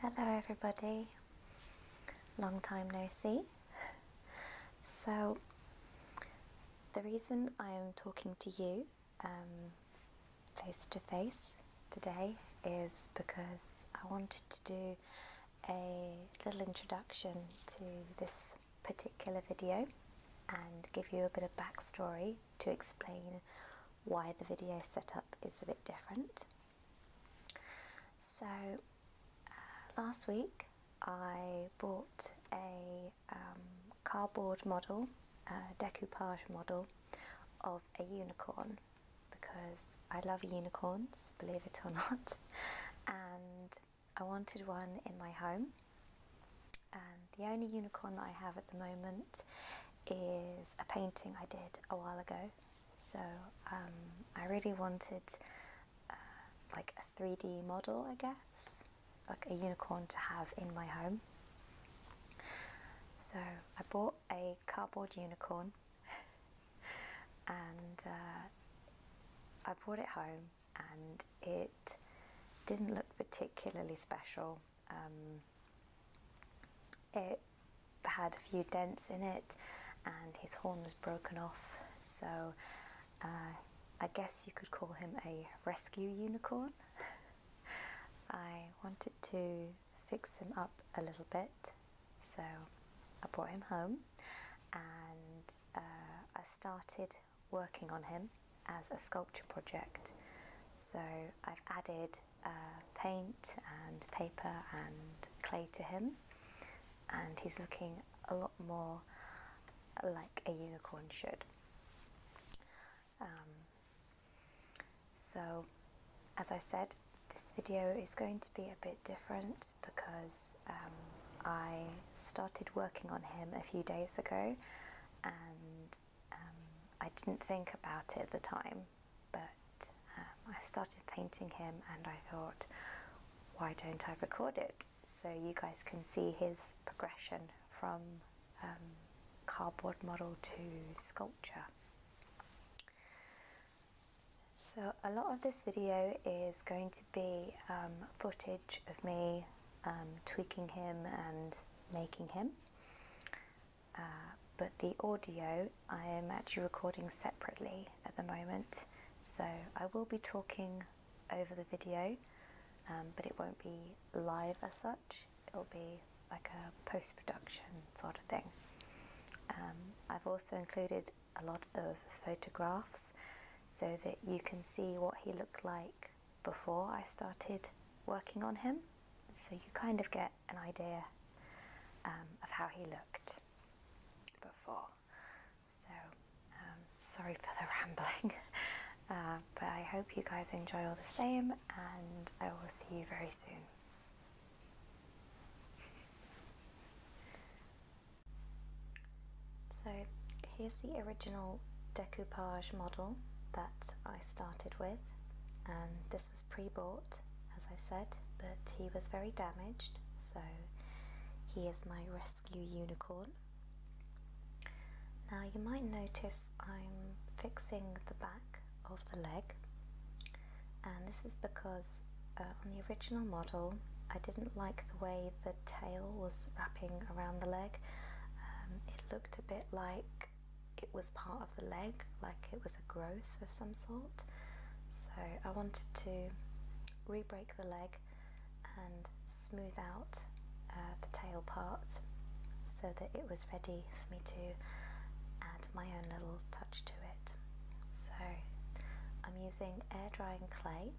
Hello, everybody. Long time no see. So, the reason I am talking to you um, face to face today is because I wanted to do a little introduction to this particular video and give you a bit of backstory to explain why the video setup is a bit different. So uh, last week I bought a um, cardboard model, a decoupage model of a unicorn because I love unicorns, believe it or not, and I wanted one in my home. And the only unicorn that I have at the moment is a painting I did a while ago. So um, I really wanted uh, like a 3D model, I guess, like a unicorn to have in my home. So I bought a cardboard unicorn and uh, I brought it home and it didn't look particularly special. Um, it had a few dents in it and his horn was broken off so uh, I guess you could call him a rescue unicorn. I wanted to fix him up a little bit. So I brought him home and uh, I started working on him as a sculpture project. So I've added uh, paint and paper and clay to him, and he's looking a lot more like a unicorn should. Um, so, as I said, this video is going to be a bit different because um, I started working on him a few days ago and um, I didn't think about it at the time, but um, I started painting him and I thought, why don't I record it? So you guys can see his progression from cardboard model to sculpture. So a lot of this video is going to be um, footage of me um, tweaking him and making him. Uh, but the audio I am actually recording separately at the moment. So I will be talking over the video, um, but it won't be live as such. It will be like a post production sort of thing. Um, I've also included a lot of photographs so that you can see what he looked like before I started working on him. So you kind of get an idea um, of how he looked before. So um, sorry for the rambling, uh, but I hope you guys enjoy all the same, and I will see you very soon so here's the original decoupage model that I started with and this was pre-bought as I said but he was very damaged so he is my rescue unicorn. Now you might notice I'm fixing the back of the leg and this is because uh, on the original model I didn't like the way the tail was wrapping around the leg um, it looked a bit like it was part of the leg like it was a growth of some sort so I wanted to re-break the leg and smooth out uh, the tail part so that it was ready for me to add my own little touch to it. So I'm using air drying clay,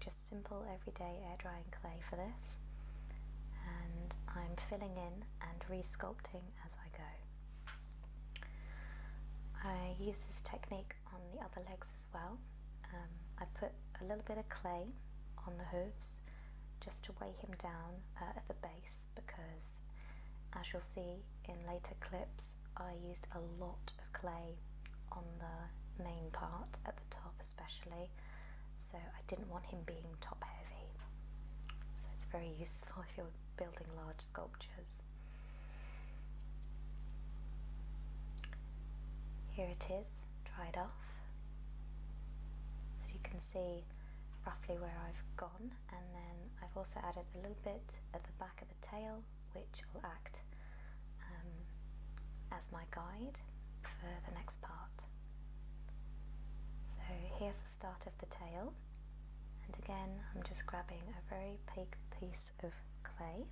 just simple everyday air drying clay for this, and I'm filling in and resculpting as I go. I use this technique on the other legs as well. Um, I put a little bit of clay on the hooves just to weigh him down uh, at the base because as you'll see in later clips I used a lot of clay on the main part at the top especially so I didn't want him being top heavy so it's very useful if you're building large sculptures. Here it is dried off so you can see roughly where I've got and then I've also added a little bit at the back of the tail which will act um, as my guide for the next part. So here's the start of the tail and again I'm just grabbing a very big piece of clay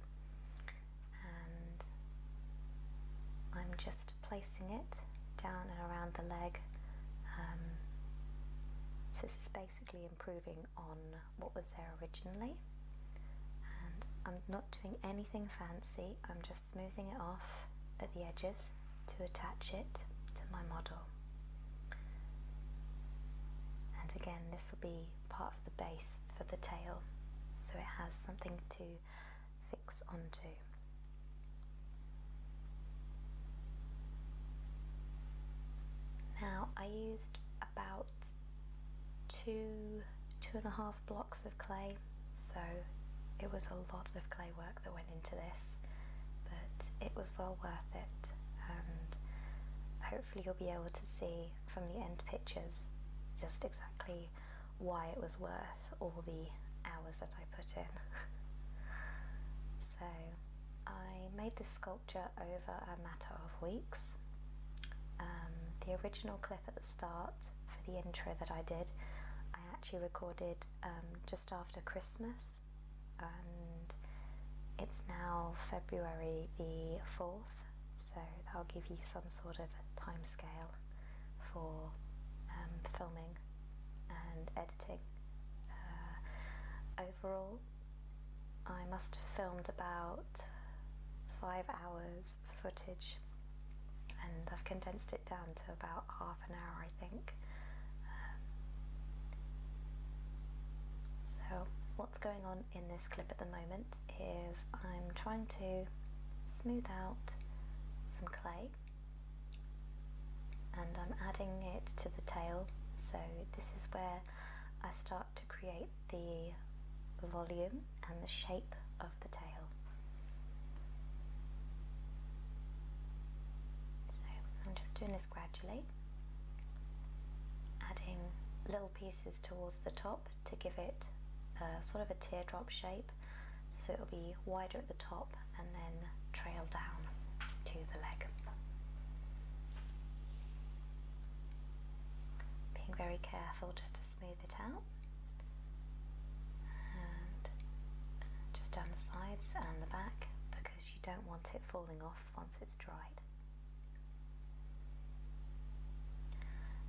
and I'm just placing it down and around the leg um, so this is basically improving on what was there originally. And I'm not doing anything fancy, I'm just smoothing it off at the edges to attach it to my model. And again, this will be part of the base for the tail, so it has something to fix onto. Now I used about two, two and a half blocks of clay, so it was a lot of clay work that went into this, but it was well worth it and hopefully you'll be able to see from the end pictures just exactly why it was worth all the hours that I put in. so I made this sculpture over a matter of weeks. Um, the original clip at the start for the intro that I did, I actually recorded um, just after Christmas, and it's now February the 4th, so that'll give you some sort of time scale for um, filming and editing editing. Uh, overall, I must have filmed about five hours footage and I've condensed it down to about half an hour, I think. so, what's going on in this clip at the moment is I'm trying to smooth out some clay and I'm adding it to the tail so this is where I start to create the volume and the shape of the tail. So I'm just doing this gradually, adding little pieces towards the top to give it uh, sort of a teardrop shape so it'll be wider at the top and then trail down to the leg. Being very careful just to smooth it out and just down the sides and the back because you don't want it falling off once it's dried.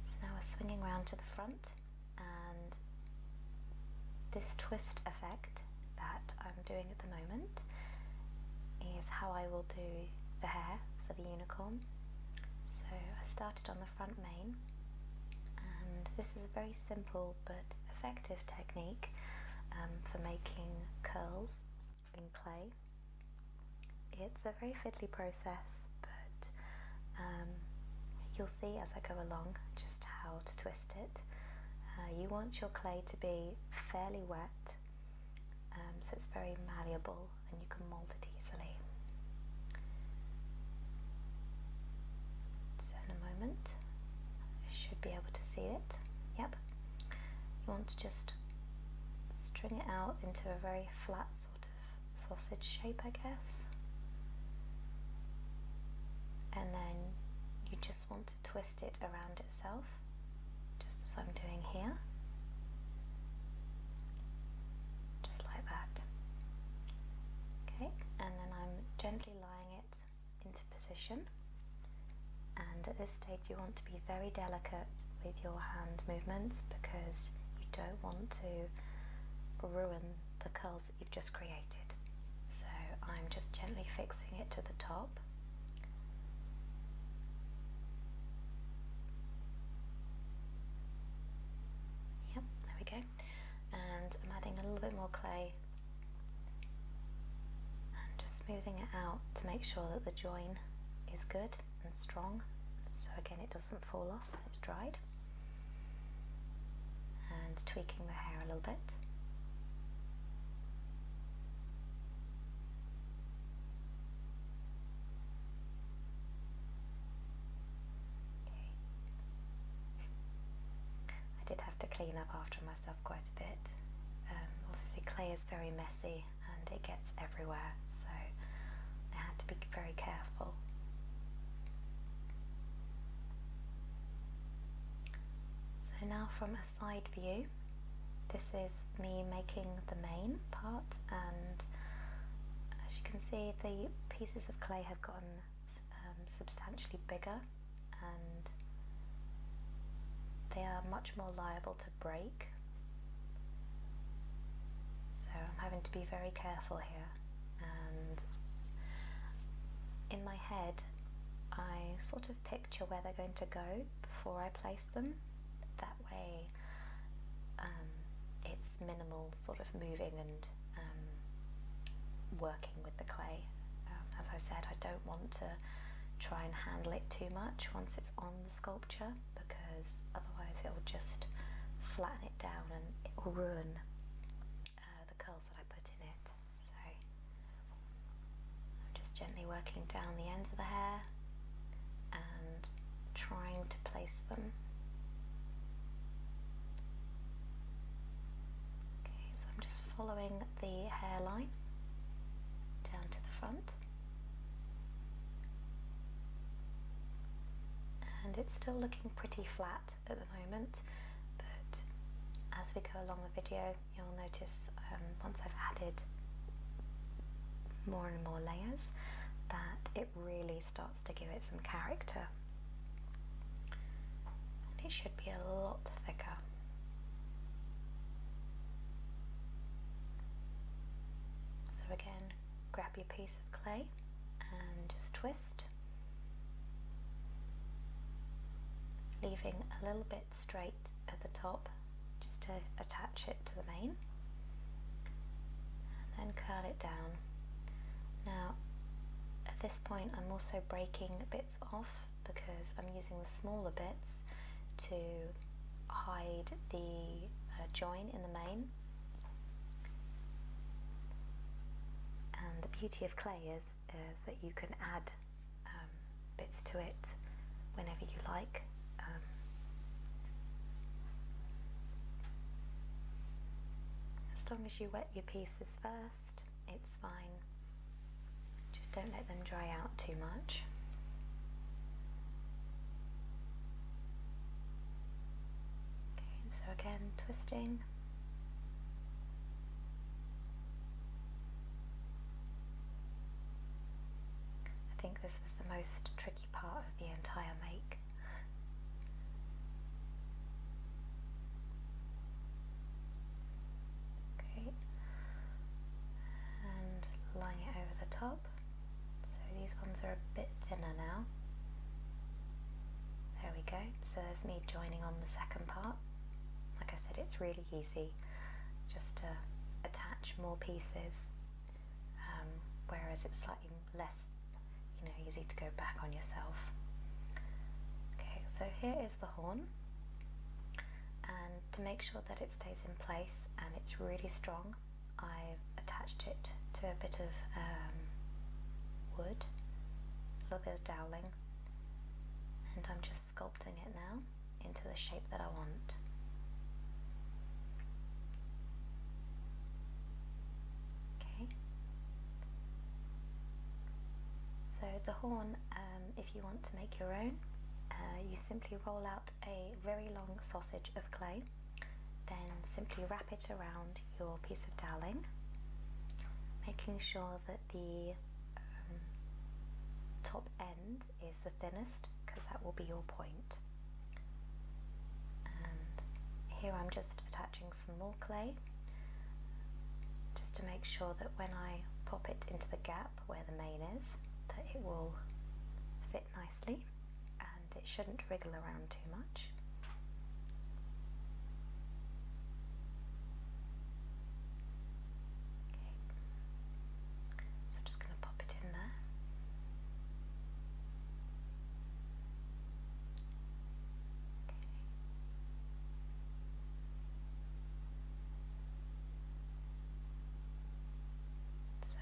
So now we're swinging round to the front and this twist effect that I'm doing at the moment is how I will do the hair for the unicorn. So I started on the front mane and this is a very simple but effective technique um, for making curls in clay. It's a very fiddly process but um, you'll see as I go along just how to twist it. Uh, you want your clay to be fairly wet um, so it's very malleable and you can mold it easily. So in a moment should be able to see it. Yep. You want to just string it out into a very flat sort of sausage shape I guess. And then you just just want to twist it around itself, just as I'm doing here. Just like that. Okay, and then I'm gently lying it into position. And at this stage, you want to be very delicate with your hand movements because you don't want to ruin the curls you've just created. So I'm just gently fixing it to the top. Yep, there we go. And I'm adding a little bit more clay and just smoothing it out to make sure that the join is good and strong so again it doesn't fall off when it's dried and tweaking the hair a little bit. Okay. I did have to clean up after myself quite a bit. Um, obviously clay is very messy and it gets everywhere so I had to be very careful. So now from a side view, this is me making the main part and as you can see the pieces of clay have gotten um, substantially bigger and they are much more liable to break so I'm having to be very careful here and in my head, I sort of picture where they're going to go before I place them. That way, um, it's minimal sort of moving and um, working with the clay. Um, as I said, I don't want to try and handle it too much once it's on the sculpture because otherwise it will just flatten it down and it will ruin uh, the curls that I put in it. So I'm just gently working down the ends of the hair and trying to place them. Okay, so I'm just following the hairline down to the front. And it's still looking pretty flat at the moment, but as we go along the video, you'll notice um, once I've added more and more layers that it really starts to give it some character. And it should be a lot thicker. So again, grab your piece of clay and just twist leaving a little bit straight at the top just to attach it to the main and then curl it down now at this point I'm also breaking bits off because I'm using the smaller bits to hide the uh, join in the main and the beauty of clay is uh, so that you can add um, bits to it whenever you like. Um. as long as you wet your pieces first, it's fine. Just don't let them dry out too much. Okay, so again, twisting. I think this was the most tricky part of the entire make. Okay, and line it over the top. So these ones are a bit thinner now. There we go so there's me joining on the second part. Like I said, it's really easy just to attach more pieces, um, whereas it's slightly less, you know, easy to go back on yourself. Okay, so here is the horn, and to make sure that it stays in place and it's really strong, I've attached it to a bit of um, wood, a little bit of and I'm just sculpting it now into the shape that I want. Okay. So the horn, um, if you want to make your own, uh, you simply roll out a very long sausage of clay, then simply wrap it around your piece of toweling, making sure that the um, top end is the thinnest because that will be your point. And here I'm just attaching some more clay just to make sure that when I pop it into the gap where the main is that it will fit nicely and it shouldn't wriggle around too much. So I'm just going to pop it in there. So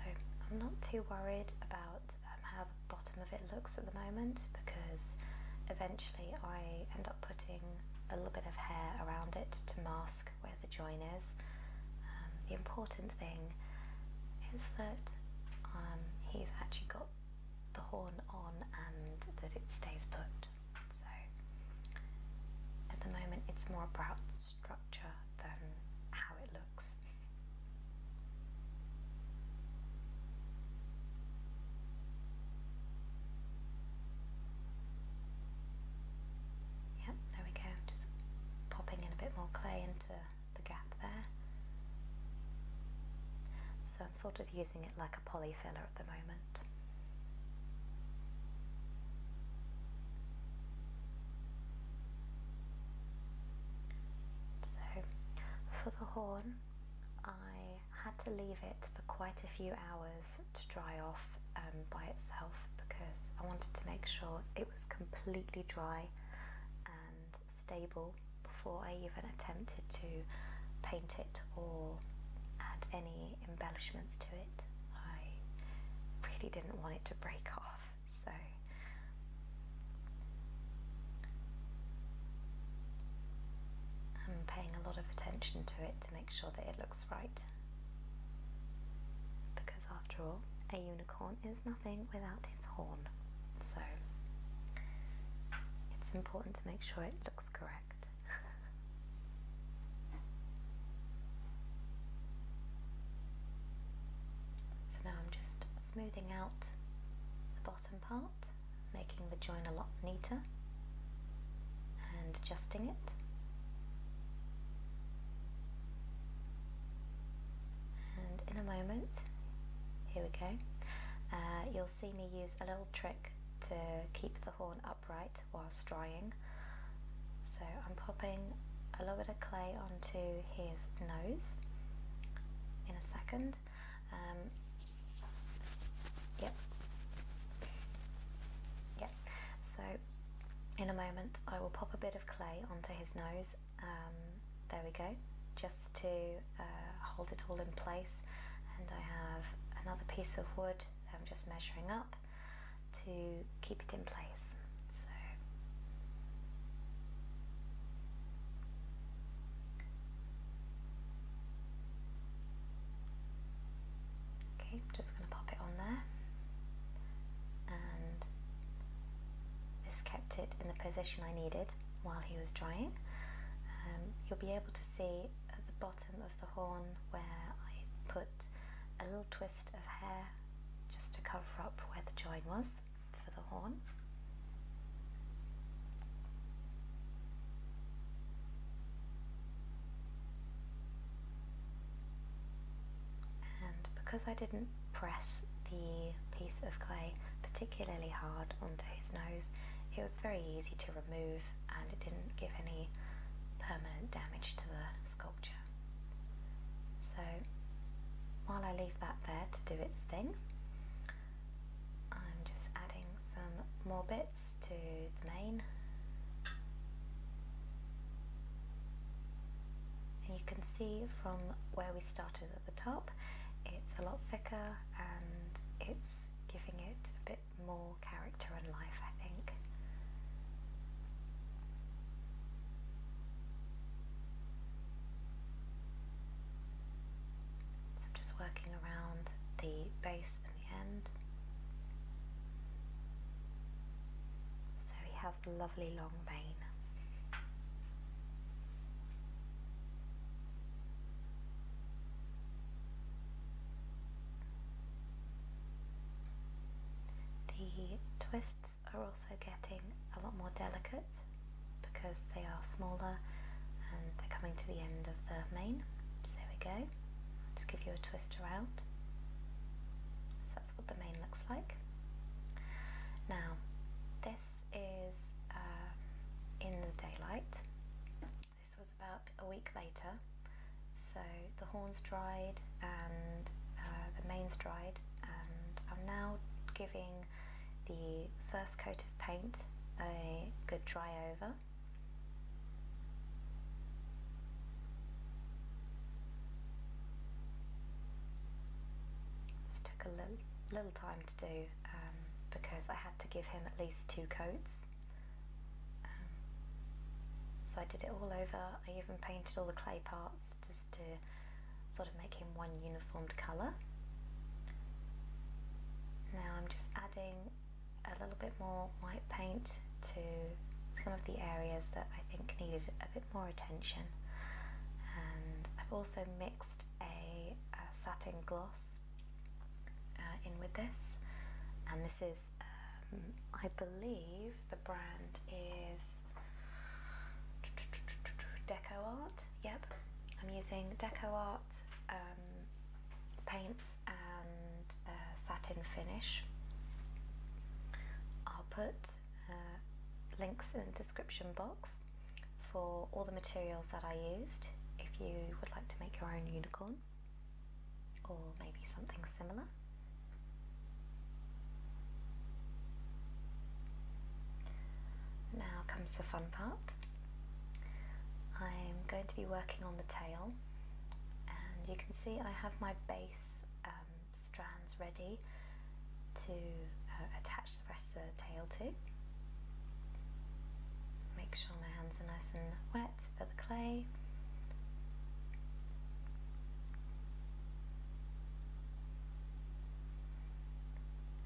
I'm not too worried about um, how the bottom of it looks at the moment because eventually I end up putting a little bit of hair around it to mask where the join is. Um, the important thing is that um, he's actually got the horn on and that it stays put. So at the moment it's more about structure than how it looks. Yep, there we go, just popping in a bit more clay into the gap there. So I'm sort of using it like a polyfiller at the moment. So for the horn, I had to leave it for quite a few hours to dry off um, by itself because I wanted to make sure it was completely dry and stable before I even attempted to paint it or add any embellishments to it. I really didn't want it to break off so I'm paying a lot of attention to it to make sure that it looks right. Because after all, a unicorn is nothing without his horn. So it's important to make sure it looks correct. so now I'm just smoothing out the bottom part, making the join a lot neater and adjusting it. And in a moment, here we go, uh, you'll see me use a little trick to keep the horn upright whilst drying. So I'm popping a little bit of clay onto his nose in a second um, yep. Yep. So in a moment, I will pop a bit of clay onto his nose. Um, there we go, just to uh, hold it all in place. And I have another piece of wood that I'm just measuring up to keep it in place. So Okay, just going to pop it on there. And this kept it in the position I needed while he was drying. Um, you'll be able to see at the bottom of the horn where I put a little twist of hair just to cover up where the join was for the horn. And because I didn't press the piece of clay particularly hard onto his nose, it was very easy to remove and it didn't give any permanent damage to the sculpture. So while I leave that there to do its thing, I'm just adding some more bits to the main. And you can see from where we started at the top, it's a lot thicker and it's giving it a bit more character and life, I think. I'm just working around the base and the end. So he has the lovely long mane. The twists are also getting a lot more delicate because they are smaller and they're coming to the end of the main. So there we go. Just give you a twister out. So that's what the main looks like. Now, this is um, in the daylight. This was about a week later. So the horns dried and uh, the mains dried, and I'm now giving the first coat of paint a good dry over. This took a little, little time to do um, because I had to give him at least two coats. Um, so I did it all over, I even painted all the clay parts just to sort of making one uniformed colour. Now I'm just adding a little bit more white paint to some of the areas that I think needed a bit more attention and I've also mixed a, satin gloss uh, in with this and this is um, I believe the brand is Deco Art yep. I'm using deco art, um, paints, and uh, satin finish. I'll put uh, links in the description box for all the materials that I used if you would like to make your own unicorn or maybe something similar. Now comes the fun part. I'm going to be working on the tail and you can see I have my base um, strands ready to uh, attach the rest of the tail to. Make sure my hands are nice and wet for the clay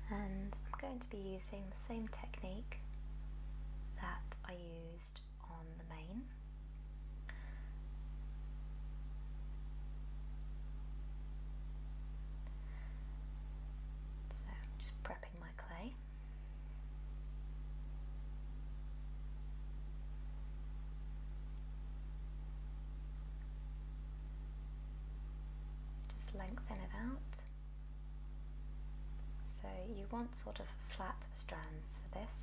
and I'm going to be using the same technique that I used on the main. So just prepping my clay. Just lengthen it out. So you want sort of flat strands for this.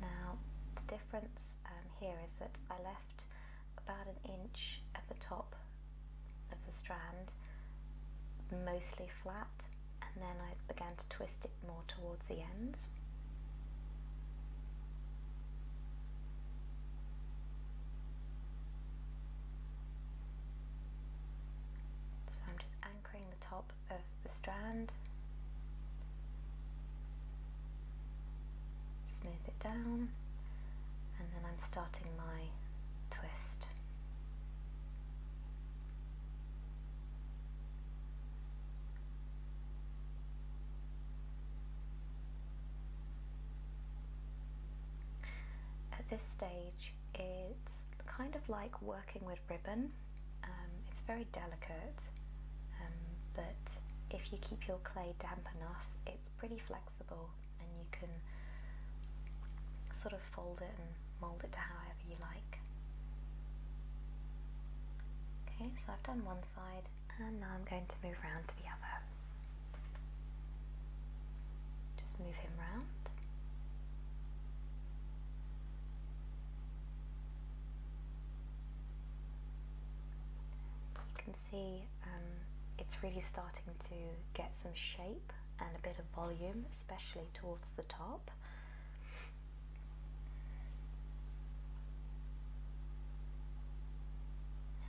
Now the difference um, here is that I left about an inch at the top of the strand mostly flat and then I began to twist it more towards the ends. So I'm just anchoring the top of the strand, smooth it down and then I'm starting my twist. At this stage it's kind of like working with ribbon. Um, it's very delicate um, but if you keep your clay damp enough it's pretty flexible and you can sort of fold it and mold it to however you like. Okay, so I've done one side and now I'm going to move round to the other. Just move him round. You can see um, it's really starting to get some shape and a bit of volume, especially towards the top.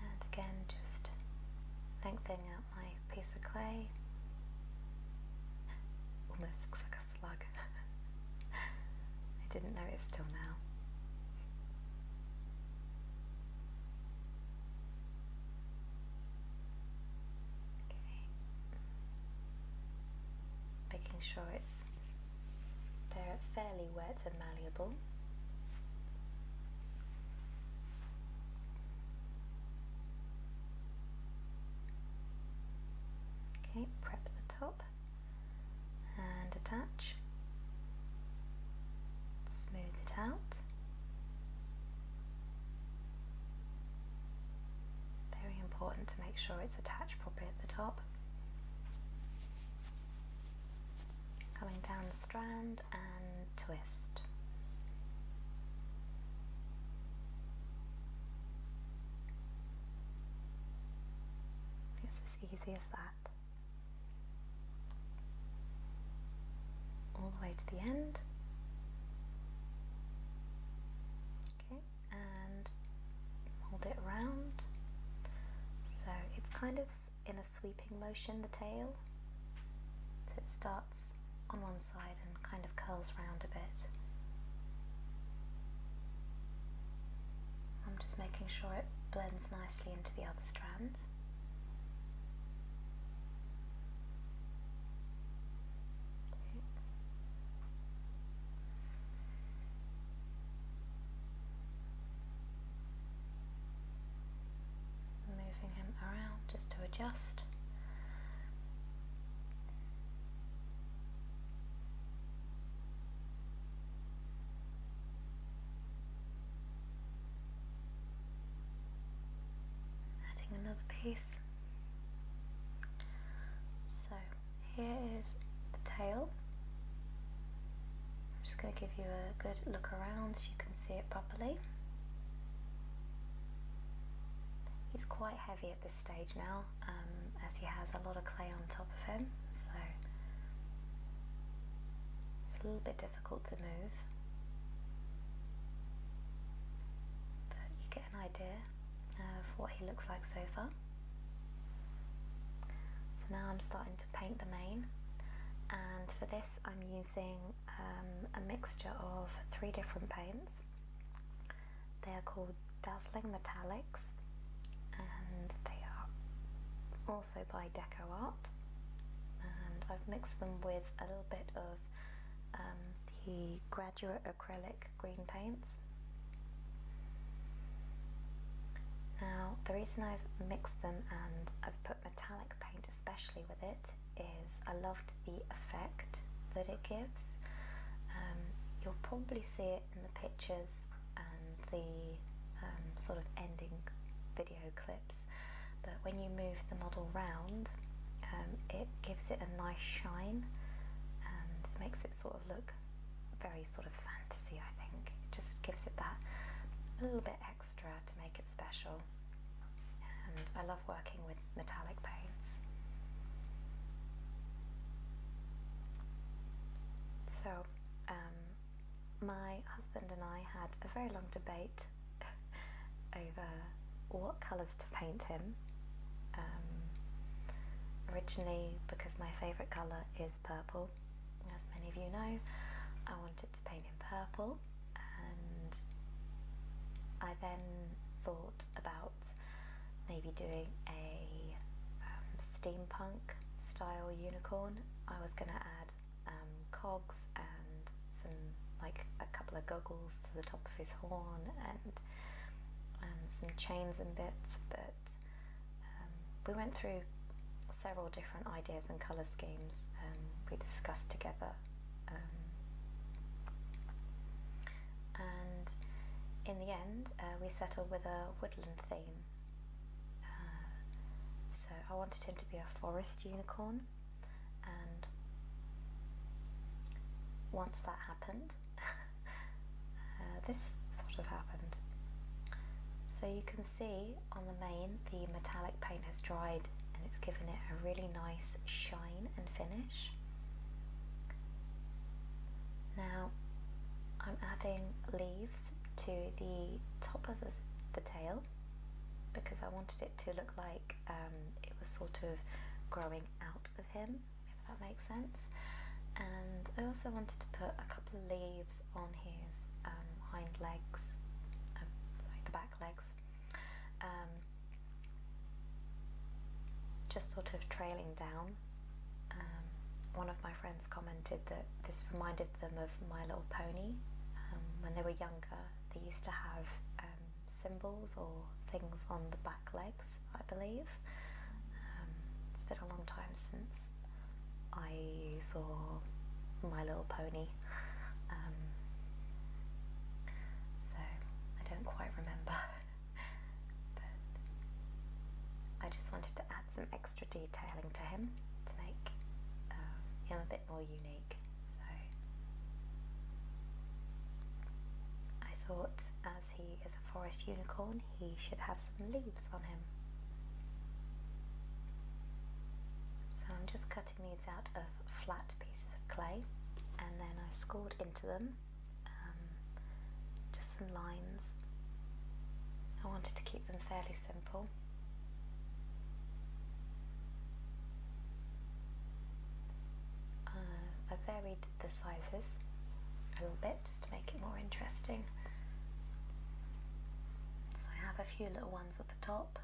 And again, just lengthening out my piece of clay. Almost looks like a slug. I didn't notice till now. Okay making sure it's they fairly wet and malleable. Okay, prep the top and attach. Smooth it out. Very important to make sure it's attached properly at the top. Coming down the strand and twist. It's as easy as that. All the way to the end. Okay, and hold it round. So it's kind of in a sweeping motion, the tail. So it starts on one side and kind of curls round a bit. I'm just making sure it blends nicely into the other strands. Moving him around just to adjust. Adding another piece. So here is the tail. I'm just going to give you a good look around so you can see it properly. He's quite heavy at this stage now um, as he has a lot of clay on top of him so it's a little bit difficult to move an idea of what he looks like so far. So now I'm starting to paint the mane and for this I'm using um, a mixture of three different paints. They are called Dazzling Metallics and they are also by Deco Art and I've mixed them with a little bit of um, the Graduate Acrylic Green Paints. Now the reason I've mixed them and I've put metallic paint especially with it is I loved the effect that it gives. Um, you'll probably see it in the pictures and the um, sort of ending video clips when you move the model round um, it gives it a nice shine and makes it sort of look very sort of fantasy I think it just gives it that little bit extra to make it special and I love working with metallic paints so um, my husband and I had a very long debate over what colours to paint him. Um, originally, because my favourite colour is purple, as many of you know, I wanted to paint him purple, and I then thought about maybe doing a um, steampunk style unicorn. I was going to add um, cogs and some like a couple of goggles to the top of his horn and um, some chains and bits but um, we went through several different ideas and colour schemes um, we discussed together and in the end uh, we settled with a woodland theme uh, so I wanted him to be a forest unicorn and once that happened, uh, this sort of happened. So you can see on the main the metallic paint has dried and it's given it a really nice shine and finish. Now I'm adding leaves to the top of the, the tail because I wanted it to look like um, it was sort of growing out of him, if that makes sense. And I also wanted to put a couple of leaves on his um, hind legs, um, like the back legs, um, just sort of trailing down. one of my friends commented that this reminded them of My Little Pony. when they were younger, they used to have symbols or things on the back legs, I believe. Um, it's been a long time since I saw My Little Pony, um, so I don't quite remember. but I just wanted to add some extra detailing to him to make um, him a bit more unique. So I thought, as he is a forest unicorn, he should have some leaves on him. So I'm just cutting these out of flat pieces of clay and then I scored into them um, just some lines. I wanted to keep them fairly simple. Uh, I varied the sizes a little bit just to make it more interesting. So I have a few little ones at the top.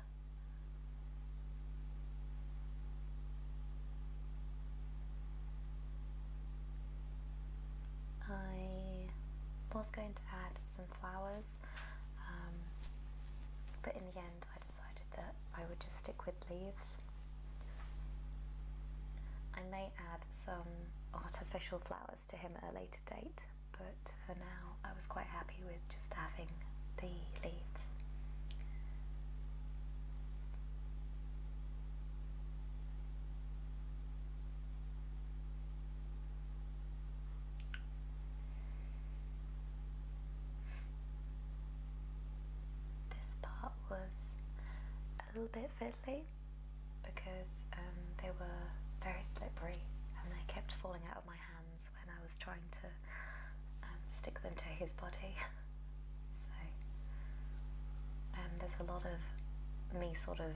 I was going to add some flowers, um, but in the end. I decided that I would just stick with leaves. I may add some artificial flowers to him at a later date, but for now I was quite happy with just having the leaves. This part was a little bit fiddly because um, they were very slippery and they kept falling out of my hands when I was trying to um, stick them to his body. so um, there's a lot of me sort of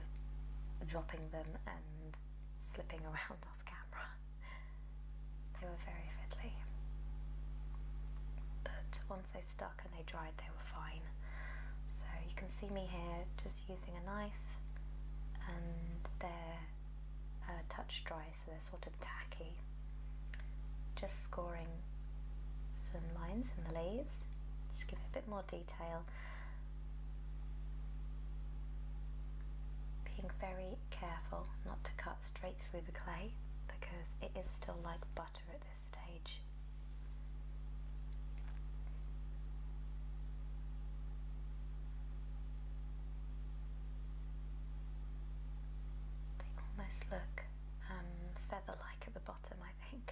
dropping them and slipping around camera. They were very fiddly. But once they stuck and they dried, they were fine. So you can see me here just using a knife and they're uh, touch dry, so they're sort of tacky. Just scoring some lines in the leaves, just give it a bit more detail. Being very careful not to cut straight through the clay because it is still like butter at this stage. They almost look um, feather like at the bottom, I think.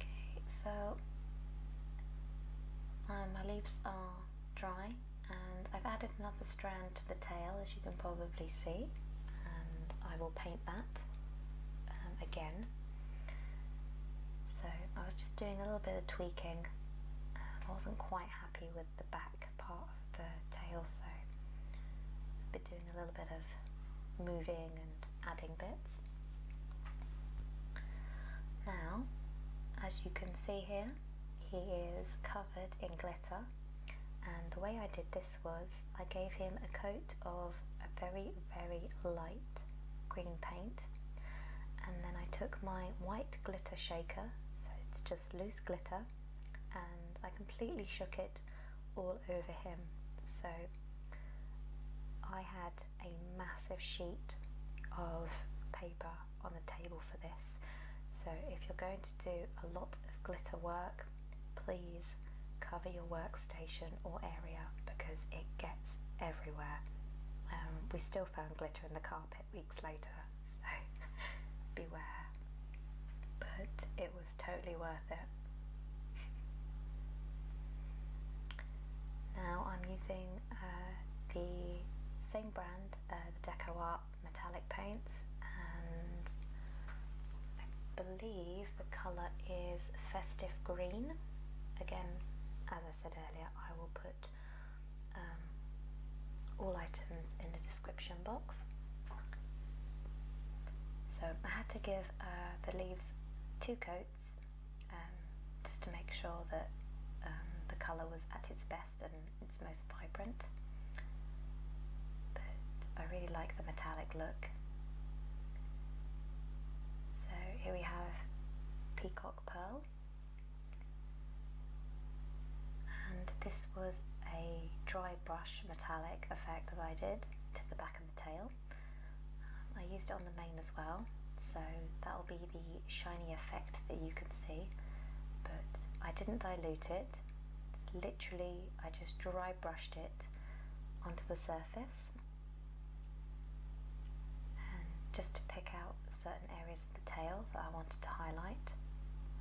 okay, so um, my leaves are dry and I've added another strand to the tail as you can probably see and I will paint that um, again so I was just doing a little bit of tweaking um, I wasn't quite happy with the back part of the tail so I've been doing a little bit of moving and adding bits. Now, as you can see here, he is covered in glitter and the way I did this was I gave him a coat of a very very light green paint and then I took my white glitter shaker so it's just loose glitter and I completely shook it all over him. So I had a massive sheet of paper on the table for this. So if you're going to do a lot of glitter work, please cover your workstation or area because it gets everywhere. Um, we still found glitter in the carpet weeks later, so beware. But it was totally worth it. Now I'm using uh, the same brand, uh, the Deco Art metallic paints, and I believe the colour is Festive Green. Again, as I said earlier, I will put um, all items in the description box. So I had to give uh, the leaves two coats um, just to make sure that um, the colour was at its best and its most vibrant. But I really like the metallic look. So here we have Peacock Pearl. And this was a dry brush metallic effect that I did to the back of the tail. Um, I used it on the mane as well, so that'll be the shiny effect that you can see, but I didn't dilute it. It's literally, I just dry brushed it onto the surface and just to pick out certain areas of the tail that I wanted to highlight.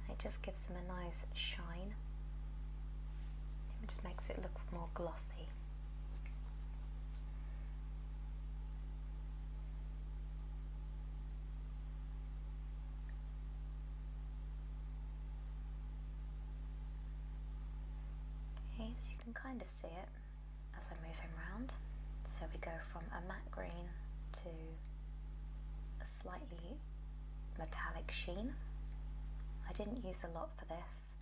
It just gives them a nice shine. It just makes it look more glossy. Okay, so you can kind of see it as I move him around. So we go from a matte green to a slightly metallic sheen. I didn't use a lot for this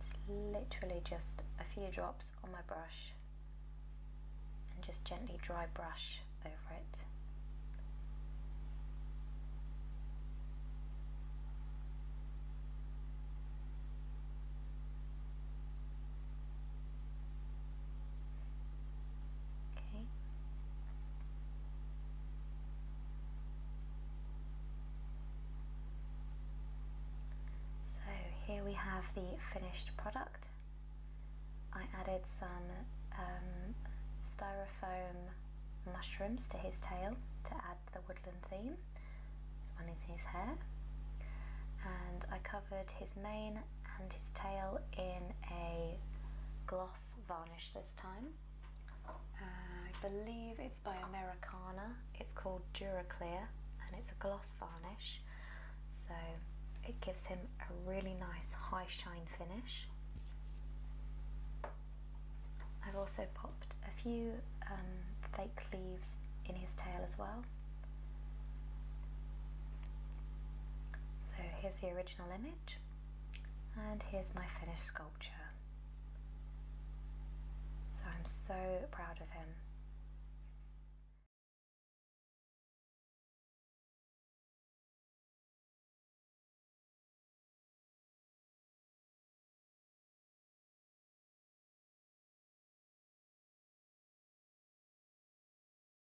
it's literally just a few drops on my brush and just gently dry brush over it. Okay. So here we have the finished product. I added some um, styrofoam mushrooms to his tail to add the woodland theme. This one is his hair. And I cut his mane and his tail in a gloss varnish this time. I believe it's by Americana. It's called Duraclear and it's a gloss varnish. So it gives him a really nice high shine finish. I've also popped a few um, fake leaves in his tail as well. So here's the original original image and here's my finished sculpture. So I'm so proud of him.